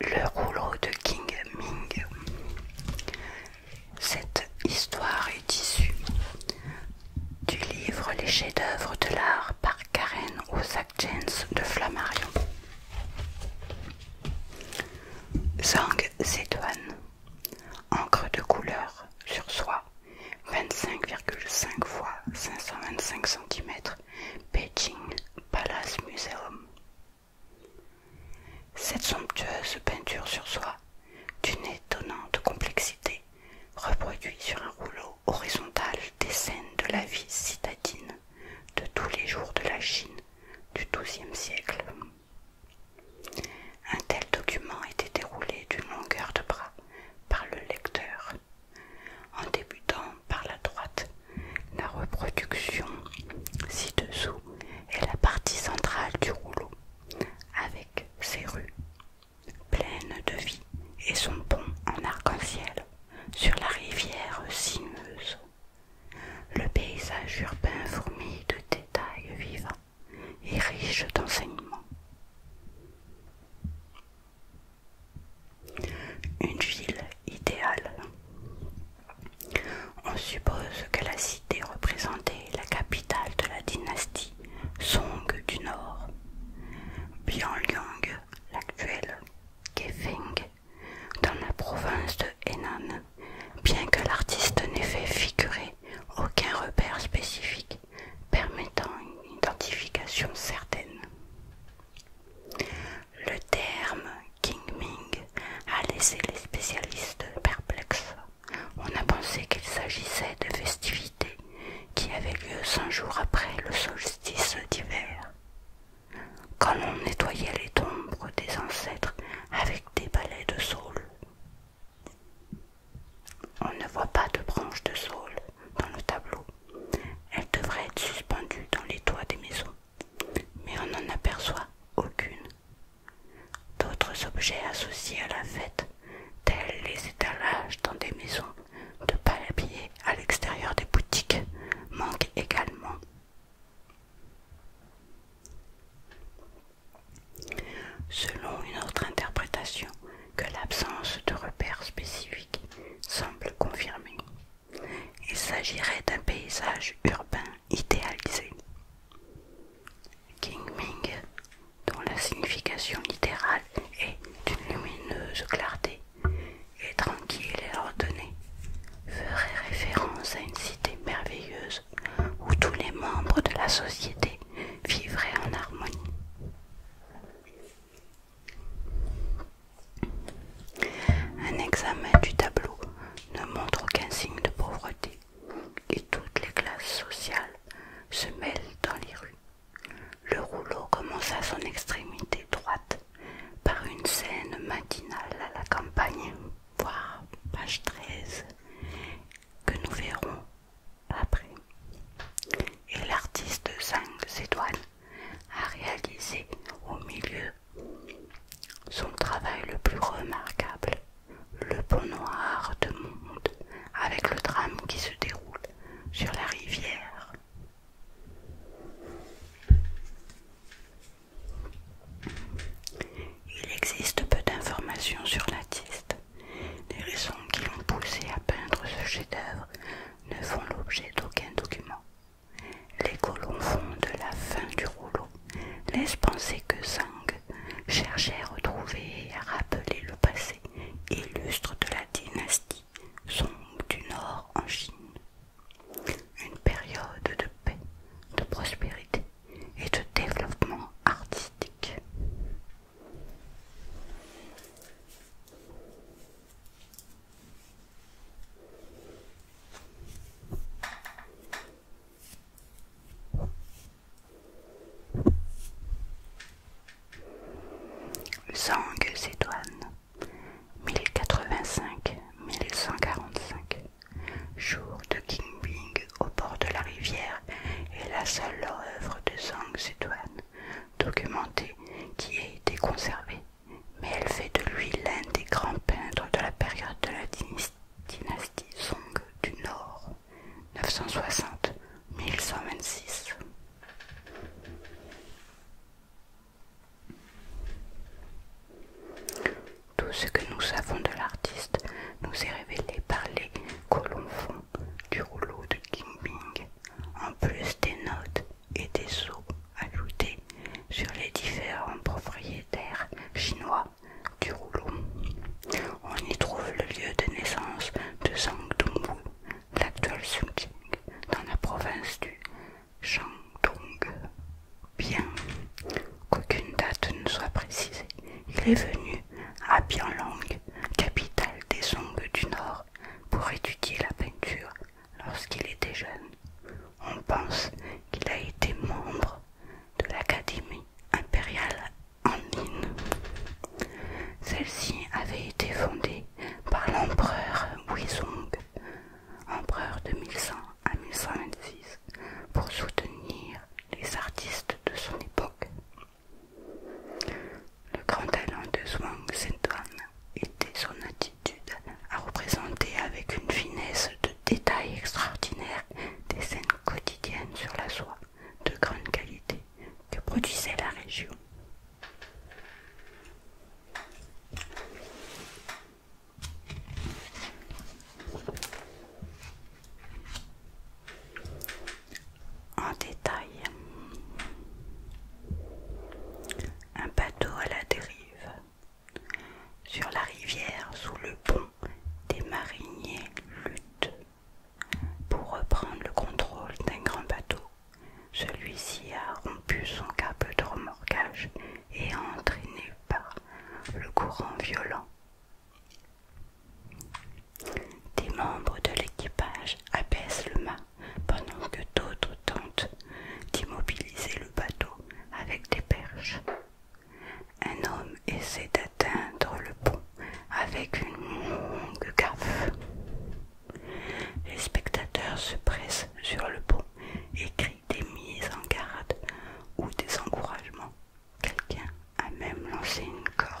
Le rouleau de King Ming. Cette histoire est issue du livre Les chefs-d'œuvre de l'art par Karen Ozak Jens de Flammarion. Zhang Zeduan encre de couleur sur soie 25,5 x 525 cm Beijing Palace Museum. Cette somptueuse peinture sur soie, d'une étonnante complexité, reproduit sur un rouleau horizontal des scènes de la vie citadine de tous les jours de la Chine du XIIe siècle. Un tel document était déroulé d'une longueur de bras par le lecteur en débutant par la droite, la reproduction ci-dessous est la partie centrale du rouleau, avec ses rues pleines de vie et son pont en arc-en-ciel sur la rivière sinueuse. Le paysage urbain fourmi de détails vivants et riche d'enseignements. Une ville idéale. On suppose que la cité représentait la capitale de la dynastie Song du Nord. Bianliang, l'actuelle Kefeng, dans la province de Henan, bien que l'artiste n'ait fait figurer aucun repère spécifique permettant une identification certaine. Le terme Ming » a laissé les spécialistes perplexes. On a pensé qu'il s'agissait de festivités qui avaient lieu cinq jours après le solstice d'hiver. Quand on nettoyait les tombes des ancêtres avec des balais de saule. On ne voit pas de branches de saule dans le tableau, elle devrait être suspendue dans les toits des maisons, mais on n'en aperçoit aucune. D'autres objets associés à la fête, tels les étalages dans des maisons de habillés à l'extérieur des boutiques, manquent également. Selon une autre interprétation, que l'absence de repères spécifiques semble confirmer. Il s'agirait d'un paysage urbain idéalisé. King Ming, dont la signification littérale est d'une lumineuse clarté et tranquille et ordonnée, ferait référence à une cité merveilleuse où tous les membres de la société vivraient en harmonie. Un examen du tableau ne montre aucun signe de pauvreté et toutes les classes sociales se mêlent dans les rues. Le rouleau commence à son extrémité droite par une scène matinale à la campagne, Voir page 13, que nous verrons après. Et l'artiste ses s'éloigne a réalisé au milieu son travail le plus remarquable, le pont noir de Monde, avec le drame qui se déroule sur la rivière. Il existe peu d'informations sur l'artiste, Les raisons qui l'ont poussé à peindre ce chef-d'œuvre ne font l'objet d'aucun document. Les colons font de la fin du rouleau, laisse penser que Zhang cherchait à retrouver et à rappeler le passé illustre de la dynastie Song du Nord en Chine. Une période de paix, de prospérité et de développement artistique mille cent 1085-1145, jour de King Bing au bord de la rivière est la seule œuvre de Zhang Zedouane documentée qui a été conservé, mais elle fait de lui l'un des grands peintres de la période de la dynastie Song du Nord, 960 Tout ce que nous savons de l'artiste nous est révélé par les colons du rouleau de Kimping, en plus des notes et des sceaux ajoutés sur les différents propriétaires chinois du rouleau. On y trouve le lieu de naissance de Zhang Dongwu, l'actuel Qing, dans la province du Shandong. Bien qu'aucune date ne soit précisée, il est venu à Bianlong, capitale des Song du Nord pour étudier la peinture lorsqu'il était jeune. On pense qu'il a été membre de l'Académie impériale en ligne Celle-ci avait été fondée par l'empereur Huizong, empereur de 1100 à 1126, pour soutenir les artistes de son époque. Le grand talent de Zhuang Zhentuan était son attitude à représenter avec une finesse de détail extraordinaire des scènes quotidiennes sur la soie de grande qualité que produisait la région en détail. Un bateau à la dérive sur la rivière sous le pont des mariniers luttent pour reprendre le contrôle d'un grand bateau. Celui-ci a rompu son câble de remorquage et est entraîné par le courant violent. Des membres de l'équipage abaissent le mât pendant que d'autres tentent d'immobiliser le bateau avec des perches. Un homme essaie d'atteindre le pont avec une longue gaffe. Les spectateurs se pressent sur le pont et crient des mises en garde ou des encouragements à même lancer une corde.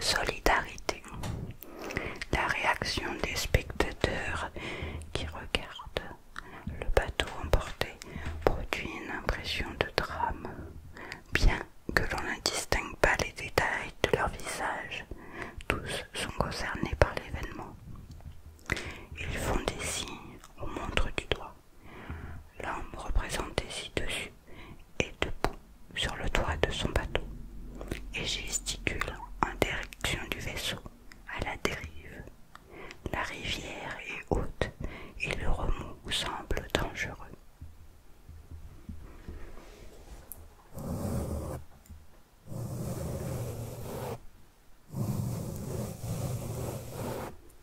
Solidarité. La réaction des spectateurs qui regardent le bateau emporté produit une impression de drame, bien que l'on ne distingue pas les détails de leur visage. Tous sont concernés par l'événement. Ils font des signes au montre du doigt. L'homme représenté ci-dessus est debout sur le toit de son bateau et gesticule en direction du vaisseau à la dérive. La rivière est haute et le remous semble dangereux.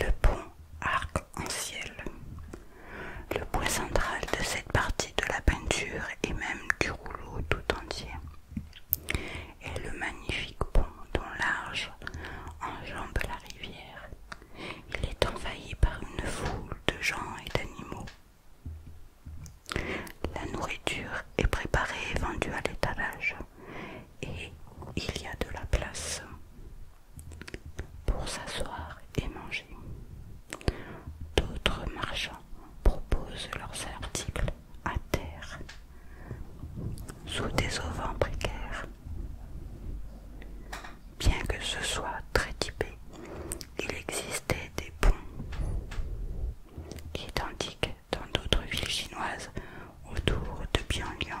Le pont arc-en-ciel. Le point central de cette partie de la peinture et même du rouleau tout entier est le magnifique pont dont l'arche enjambe la rivière il est envahi par une foule de gens et d'animaux. La nourriture est préparée et vendue à l'étalage et il y a de la place pour s'asseoir et manger. D'autres marchands proposent leurs articles à terre sous des auvents précaires Bien que ce soit très typé, il existait des ponts identiques dans d'autres villes chinoises autour de Bianliang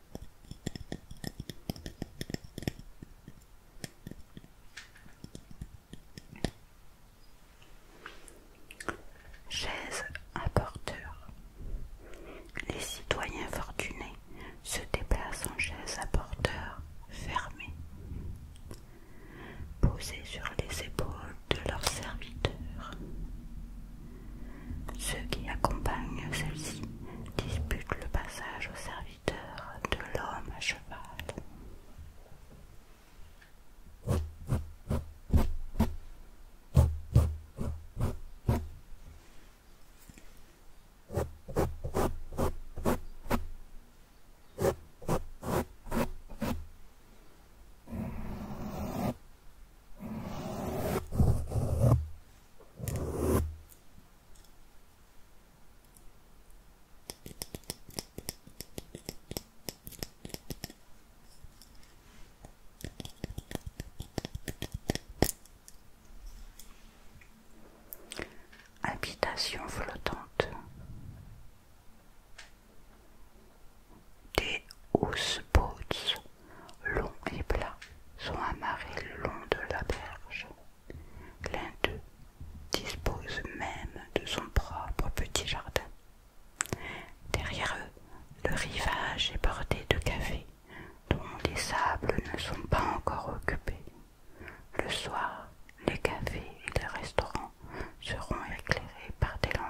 Chaise à porteur. Les citoyens fortunés se déplacent en chaise à porteur fermée, posée sur les épaules de leurs serviteurs. Ceux qui accompagnent celles ci disputent le passage au service de l'homme à cheval. Habitation flottante. Des houseboats longs et plats, sont amarrés le long de la berge. L'un d'eux dispose même de son propre petit jardin. Derrière eux, le rivage est bordé de cafés dont les sables ne sont pas encore occupés. Le soir, les cafés et les restaurants seront éclairés par des lanternes.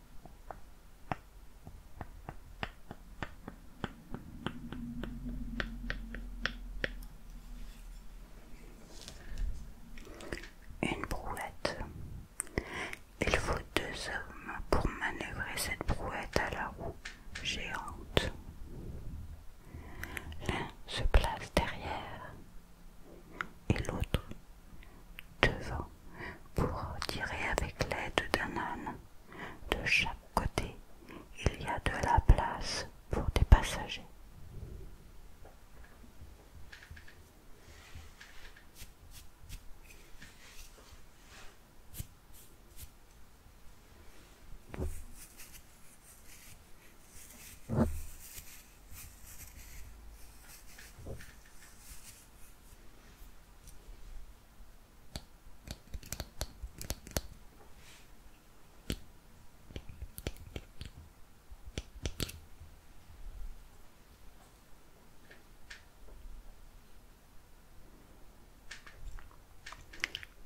Une brouette. Il faut deux hommes pour manœuvrer cette brouette à la roue géante. L'un se place derrière et l'autre devant pour tirer avec l'aide d'un âne. De chaque côté, il y a de la place pour des passagers.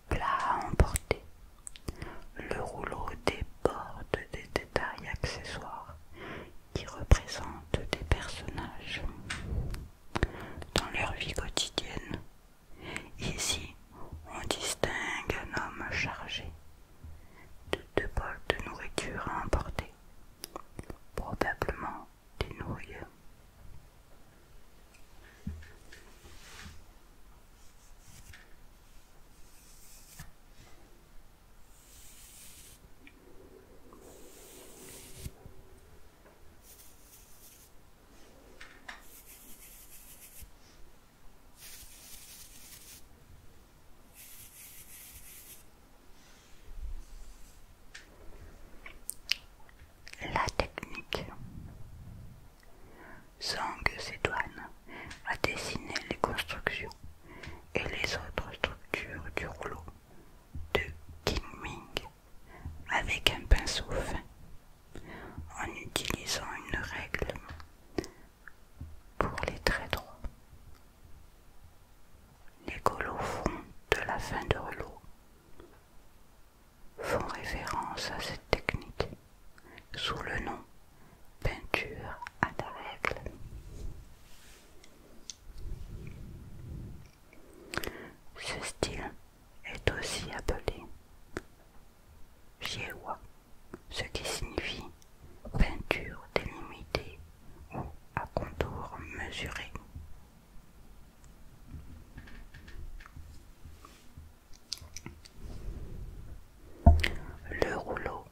Plat emporté. Le rouleau déborde des détails accessoires qui représentent des personnages dans leur vie quotidienne. Ici, on distingue un homme chargé de deux bols de nourriture à emporter, probablement des nouilles. La technique. Zhang a dessiné les constructions et les autres structures du rouleau de Ming avec un pinceau fin en utilisant une règle pour les traits droits. Les colophons de la fin de l'eau font référence à cette technique sous le nom peinture à la règle. Ce style est aussi appelé Jiewa, ce qui signifie peinture délimitée ou à contour mesuré. Le rouleau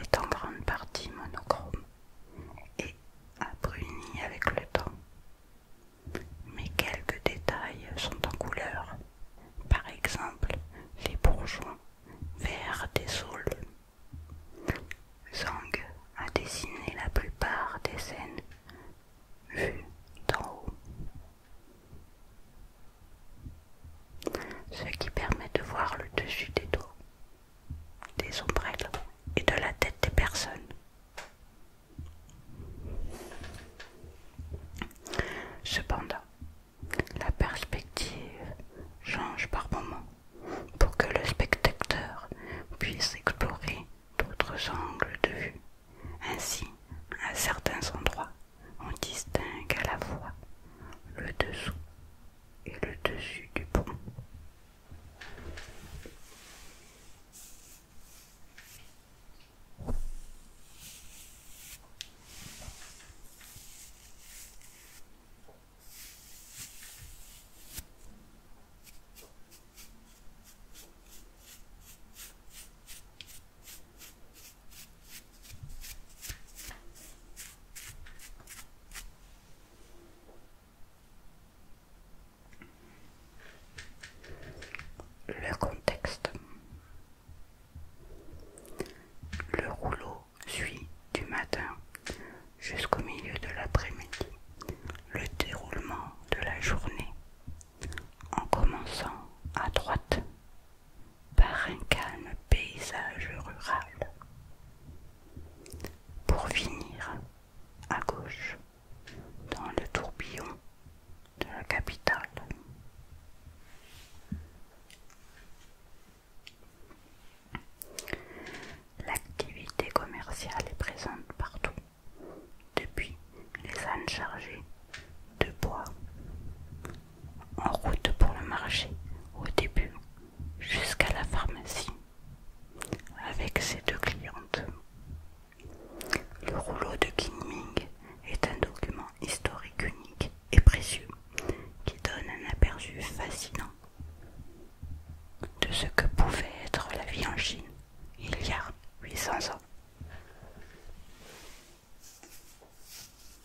est en grande partie monochrome et bruni avec le temps. Mais quelques détails sont en couleur, par exemple les bourgeons verts des saules. Zhang a dessiné la plupart des scènes vues d'en haut. Ce qui permet de voir le dessus des dos des ombrelles et de la tête des personnes. Cependant, la perspective change par moment pour que le spectateur puisse explorer d'autres angles de vue. Ainsi, à certains endroits, on distingue à la fois le dessous et le dessus du pont. Le contexte. Le rouleau suit du matin jusqu'au milieu de l'après-midi le déroulement de la journée en commençant à droite par un calme paysage rural. Pour finir, à gauche, dans le tourbillon de la capitale. L'activité commerciale est présente partout, depuis les ânes chargées de bois en route pour le marché au début jusqu'à la pharmacie avec ses deux clientes. Le rouleau de Ming est un document historique unique et précieux qui donne un aperçu fascinant de ce que pouvait être la vie en Chine il y a 800 ans.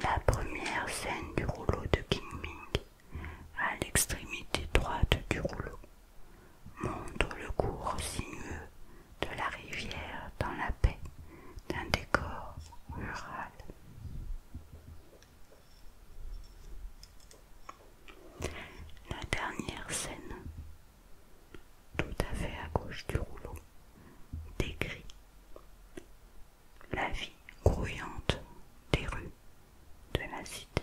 La première scène du rouleau de King Ming, à l'extrémité droite du rouleau, montre le cours sinueux de la rivière dans la paix d'un décor rural. La dernière scène, tout à fait à gauche du rouleau, décrit la vie grouillante des rues de la cité.